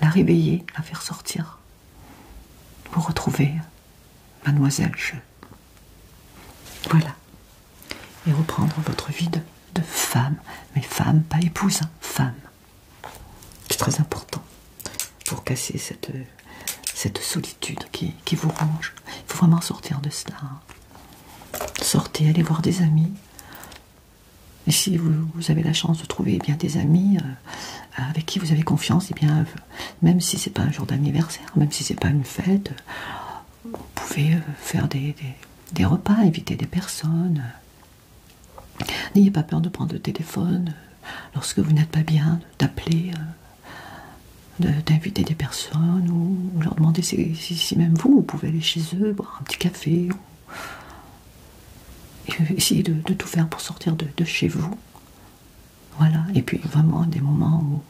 Speaker 1: la réveiller, la faire sortir pour retrouver mademoiselle Je. Voilà. Et reprendre votre vie de femme, mais femme, pas épouse, hein, femme. C'est très important pour casser cette, solitude qui, vous ronge. Il faut vraiment sortir de cela. Sortez, allez voir des amis. Et si vous, avez la chance de trouver bien, des amis euh, avec qui vous avez confiance, eh bien, même si ce n'est pas un jour d'anniversaire, même si ce n'est pas une fête, vous pouvez euh, faire des, repas, éviter des personnes. N'ayez pas peur de prendre le téléphone euh, lorsque vous n'êtes pas bien, d'appeler, euh, d'inviter des personnes ou, leur demander si, même vous, pouvez aller chez eux, boire un petit café. Euh, essayer de, tout faire pour sortir de, chez vous. Voilà, et puis vraiment des moments où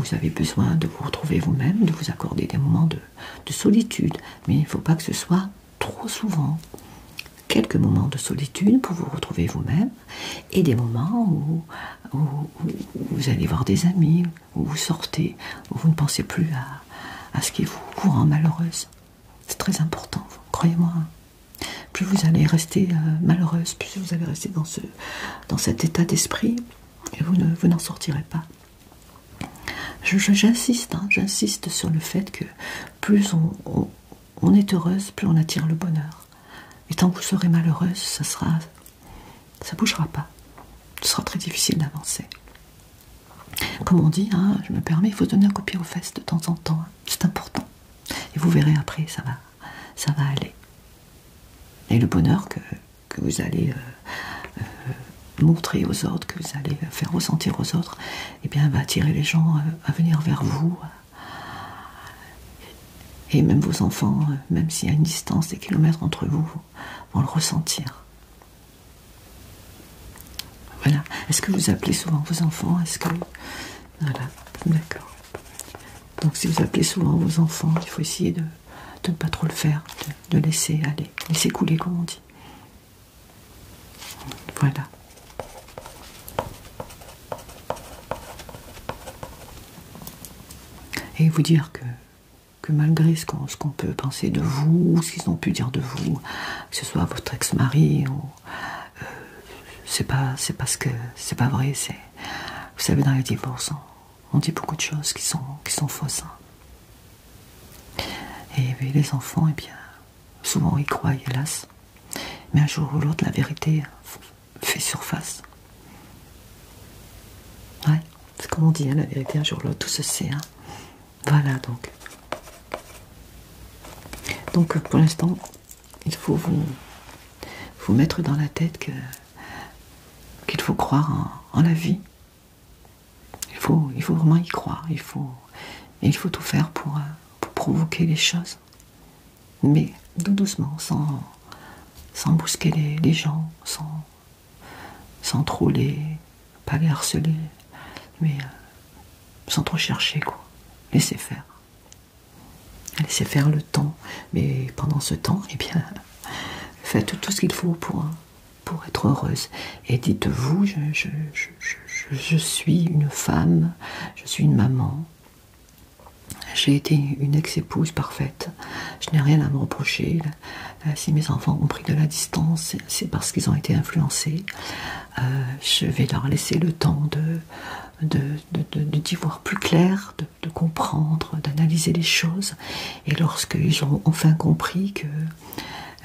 Speaker 1: vous avez besoin de vous retrouver vous-même, de vous accorder des moments de solitude. Mais il ne faut pas que ce soit trop souvent quelques moments de solitude pour vous retrouver vous-même et des moments où, vous allez voir des amis, où vous sortez, où vous ne pensez plus à, ce qui vous, rend malheureuse. C'est très important, croyez-moi. Plus vous allez rester euh, malheureuse, plus vous allez rester dans, ce, cet état d'esprit et vous n'en sortirez pas. J'insiste, hein, j'insiste sur le fait que plus on, on est heureuse, plus on attire le bonheur. Et tant que vous serez malheureuse, ça sera, ça bougera pas. Ce sera très difficile d'avancer. Comme on dit, hein, je me permets, il faut donner un coup pied aux fesses de temps en temps. C'est important. Et vous verrez après, ça va, ça va aller. Et le bonheur que, vous allez euh, euh, montrer aux autres, que vous allez faire ressentir aux autres, et eh bien, va attirer les gens euh, à venir vers vous. Et même vos enfants, euh, même s'il y a une distance des kilomètres entre vous, vont le ressentir. Voilà. Est-ce que vous appelez souvent vos enfants Est-ce que. Voilà, d'accord. Donc, si vous appelez souvent vos enfants, il faut essayer de, ne pas trop le faire, de laisser aller, laisser couler, comme on dit. Voilà. Et vous dire que, malgré ce qu'on peut penser de vous, ce qu'ils ont pu dire de vous, que ce soit votre ex-mari, euh, c'est pas, que c'est pas vrai. Vous savez, dans les divorces, on, dit beaucoup de choses qui sont, fausses. Et, hein. et les enfants, eh bien, Souvent, y croit, hélas. Mais un jour ou l'autre, la vérité fait surface. Ouais, c'est comme on dit, hein, la vérité, un jour ou l'autre, tout se sait. Hein. Voilà donc. Donc, pour l'instant, il faut vous, mettre dans la tête que qu'il faut croire en, la vie. Il faut, vraiment y croire. Il faut, tout faire pour. Euh, pour provoquer les choses, mais doucement, sans, sans bousquer les, gens, sans, sans, trop les. pas harceler, mais euh, sans trop chercher, quoi. Laissez faire. Laissez faire le temps, mais pendant ce temps, eh bien, faites tout ce qu'il faut pour, être heureuse. Et dites-vous, je, je, suis une femme, je suis une maman. J'ai été une ex-épouse parfaite. Je n'ai rien à me reprocher. Euh, si mes enfants ont pris de la distance, c'est parce qu'ils ont été influencés. Euh, je vais leur laisser le temps de, d'y voir plus clair, de, comprendre, d'analyser les choses. Et lorsqu'ils ont enfin compris que,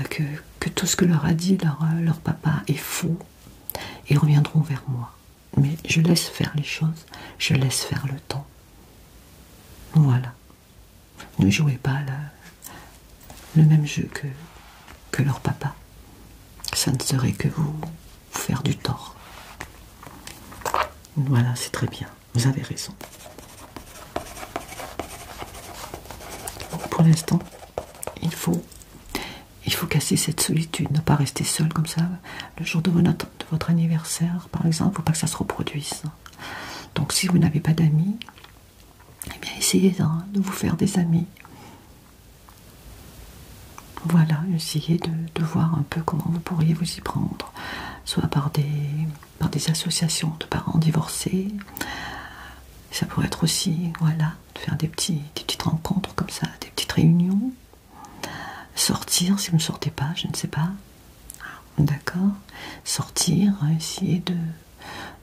Speaker 1: que, que tout ce que leur a dit euh, leur, papa est faux et reviendront vers moi. Mais je laisse faire les choses, je laisse faire le temps. Voilà. Ne jouez pas le, même jeu que, que leur papa. Ça ne serait que vous faire du tort. Voilà, c'est très bien. Vous avez raison. Pour l'instant, il faut, casser cette solitude, ne pas rester seul comme ça. Le jour de, votre anniversaire, par exemple, il ne faut pas que ça se reproduise. Donc si vous n'avez pas d'amis, eh bien essayez hein, de vous faire des amis. Voilà, essayez de, voir un peu comment vous pourriez vous y prendre, soit par des, par des associations de parents divorcés, ça pourrait être aussi, voilà, de faire des, petites rencontres comme ça, des petites réunions. Sortir, si vous ne sortez pas, je ne sais pas. D'accord Sortir, essayer de,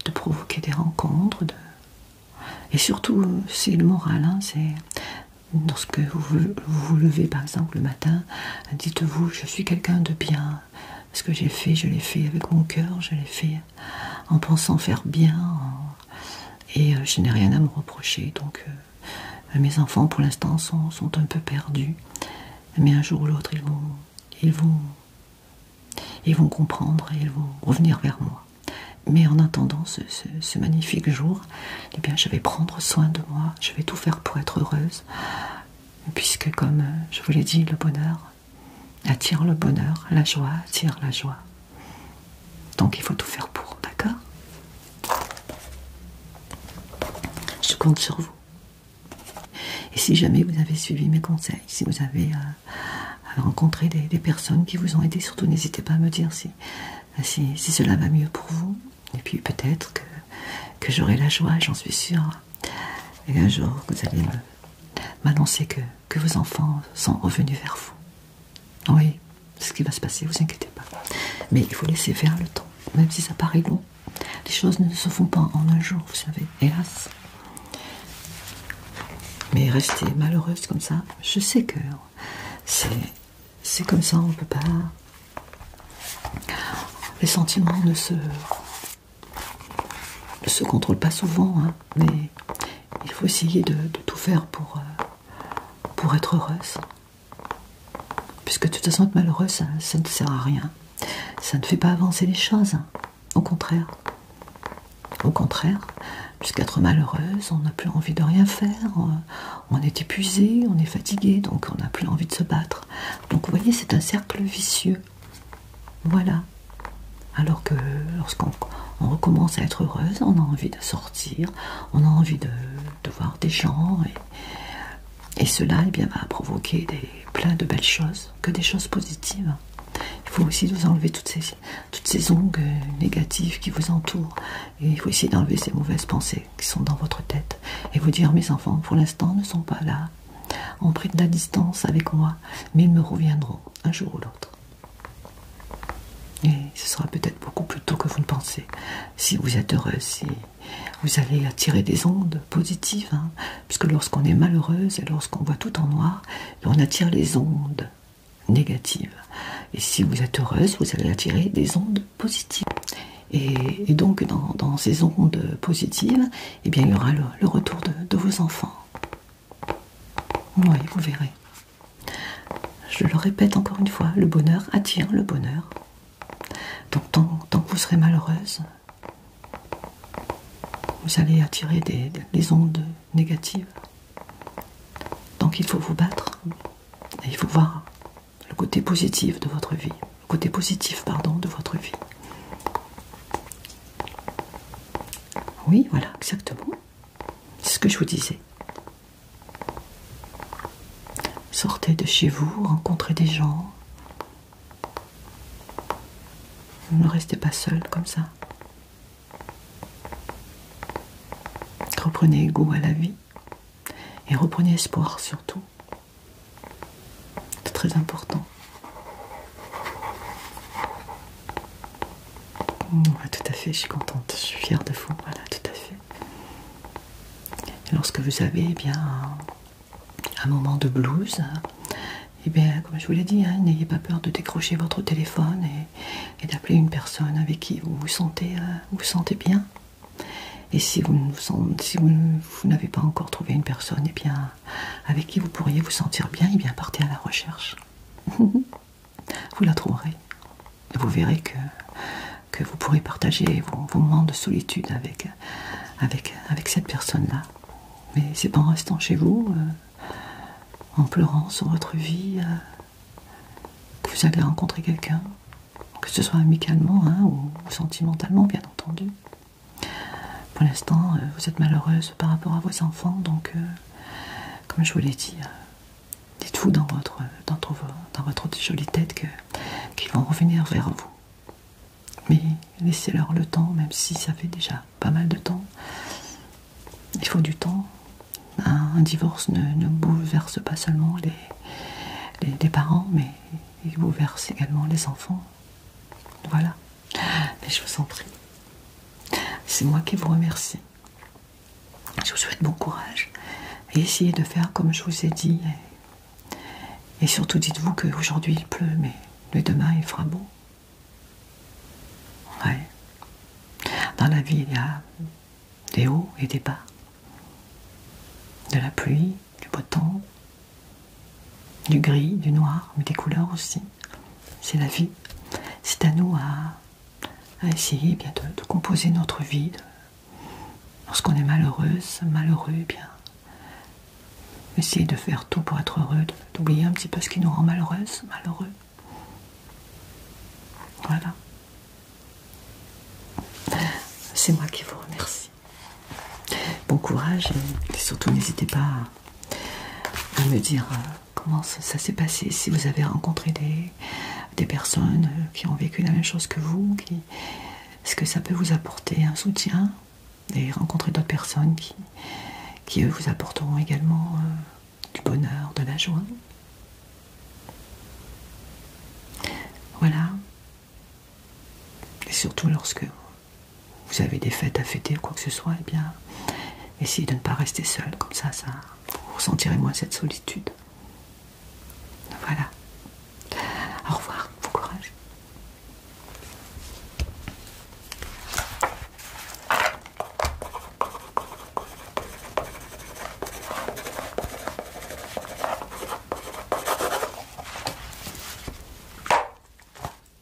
Speaker 1: de provoquer des rencontres. De... Et surtout, c'est le moral. Hein, c'est Lorsque vous, vous vous levez, par exemple, le matin, dites-vous, je suis quelqu'un de bien. Ce que j'ai fait, je l'ai fait avec mon cœur, je l'ai fait en pensant faire bien. Et euh, je n'ai rien à me reprocher. Donc euh, mes enfants pour l'instant sont, un peu perdus. Mais un jour ou l'autre, ils vont, ils, vont, ils vont comprendre et ils vont revenir vers moi. Mais en attendant ce, ce magnifique jour, eh bien, je vais prendre soin de moi, je vais tout faire pour être heureuse, puisque comme euh, je vous l'ai dit, le bonheur, attire le bonheur, la joie attire la joie. Donc il faut tout faire pour, d'accord Je compte sur vous. Et si jamais vous avez suivi mes conseils, si vous avez euh, rencontré des, personnes qui vous ont aidé, surtout n'hésitez pas à me dire si, cela va mieux pour vous. Et puis peut-être que, que j'aurai la joie, j'en suis sûr, Et un jour, vous allez m'annoncer que que vos enfants sont revenus vers vous. Oui, c'est ce qui va se passer, vous inquiétez pas. Mais il faut laisser faire le temps, même si ça paraît long. Les choses ne se font pas en un jour, vous savez, hélas. Mais rester malheureuse comme ça, je sais que c'est comme ça, on ne peut pas. Les sentiments ne se ne se contrôle pas souvent, hein, mais il faut essayer de, tout faire pour, euh, être heureuse. Puisque de toute façon, être malheureuse, ça, ne sert à rien. Ça ne fait pas avancer les choses. Hein. Au contraire. Au contraire, puisqu'être malheureuse, on n'a plus envie de rien faire, euh, on est épuisé, on est fatigué, donc on n'a plus envie de se battre. Donc vous voyez, c'est un cercle vicieux. Voilà. Alors que lorsqu'on recommence à être heureuse, on a envie de sortir, on a envie de, voir des gens, et, cela eh va provoquer des, plein de belles choses, que des choses positives. Il faut aussi vous enlever toutes ces, toutes ces ongles négatives qui vous entourent, et il faut aussi d'enlever ces mauvaises pensées qui sont dans votre tête, et vous dire mes enfants, pour l'instant, ne sont pas là, On pris de la distance avec moi, mais ils me reviendront un jour ou l'autre. Et ce sera peut-être beaucoup plus tôt que vous ne pensez. Si vous êtes heureuse, si vous allez attirer des ondes positives, hein, puisque lorsqu'on est malheureuse et lorsqu'on voit tout en noir, on attire les ondes négatives. Et si vous êtes heureuse, vous allez attirer des ondes positives. Et, donc dans, ces ondes positives, eh bien, il y aura le, retour de vos enfants. Oui, vous verrez. Je le répète encore une fois, le bonheur attire le bonheur. Donc tant, que vous serez malheureuse, vous allez attirer des, ondes négatives. Donc il faut vous battre et il faut voir le côté positif de votre vie, le côté positif pardon de votre vie. Oui, voilà, exactement. C'est ce que je vous disais. Sortez de chez vous, rencontrez des gens. Ne restez pas seul comme ça. Reprenez goût à la vie et reprenez espoir surtout. C'est très important. Mmh, tout à fait, je suis contente, je suis fière de vous, voilà, tout à fait. lorsque vous avez eh bien, un, moment de blues, eh bien, comme je vous l'ai dit, hein, n'ayez pas peur de décrocher votre téléphone et, d'appeler une personne avec qui vous vous sentez, euh, vous sentez bien. Et si vous, vous, vous, n'avez pas encore trouvé une personne, eh bien, avec qui vous pourriez vous sentir bien, et bien partez à la recherche. vous la trouverez. vous verrez que, vous pourrez partager vos, moments de solitude avec, cette personne-là. Mais c'est pas en restant chez vous, euh, en pleurant sur votre vie, euh, que vous allez rencontrer quelqu'un, que ce soit amicalement hein, ou sentimentalement, bien entendu. Pour l'instant, euh, vous êtes malheureuse par rapport à vos enfants, donc, euh, comme je vous l'ai dit, euh, dites-vous dans votre, jolie tête qu'ils vont revenir vers vous. Mais laissez-leur le temps, même si ça fait déjà pas mal de temps. Il faut du temps. Un, divorce ne, bouleverse pas seulement les parents, mais il bouleverse également les enfants. Voilà. Mais je vous en prie. C'est moi qui vous remercie. Je vous souhaite bon courage et essayez de faire comme je vous ai dit. Et, surtout, dites-vous qu'aujourd'hui il pleut, mais demain il fera beau. Ouais. Dans la vie, il y a des hauts et des bas, de la pluie, du beau temps, du gris, du noir, mais des couleurs aussi. C'est la vie. C'est à nous à, essayer eh de, composer notre vie. lorsqu'on est malheureuse, malheureux, eh bien, essayer de faire tout pour être heureux, d'oublier un petit peu ce qui nous rend malheureuse, malheureux. Voilà. C'est moi qui vous remercie. Bon courage et surtout n'hésitez pas à à, me dire euh, comment ça, s'est passé, si vous avez rencontré des, personnes euh, qui ont vécu la même chose que vous, est-ce que ça peut vous apporter un soutien et rencontrer d'autres personnes qui, eux, vous apporteront également euh, du bonheur, de la joie. Voilà. Et surtout lorsque vous avez des fêtes à fêter ou quoi que ce soit, eh bien, essayez de ne pas rester seul, comme ça, ça vous ressentirez moins cette solitude. Voilà. Au revoir, bon courage.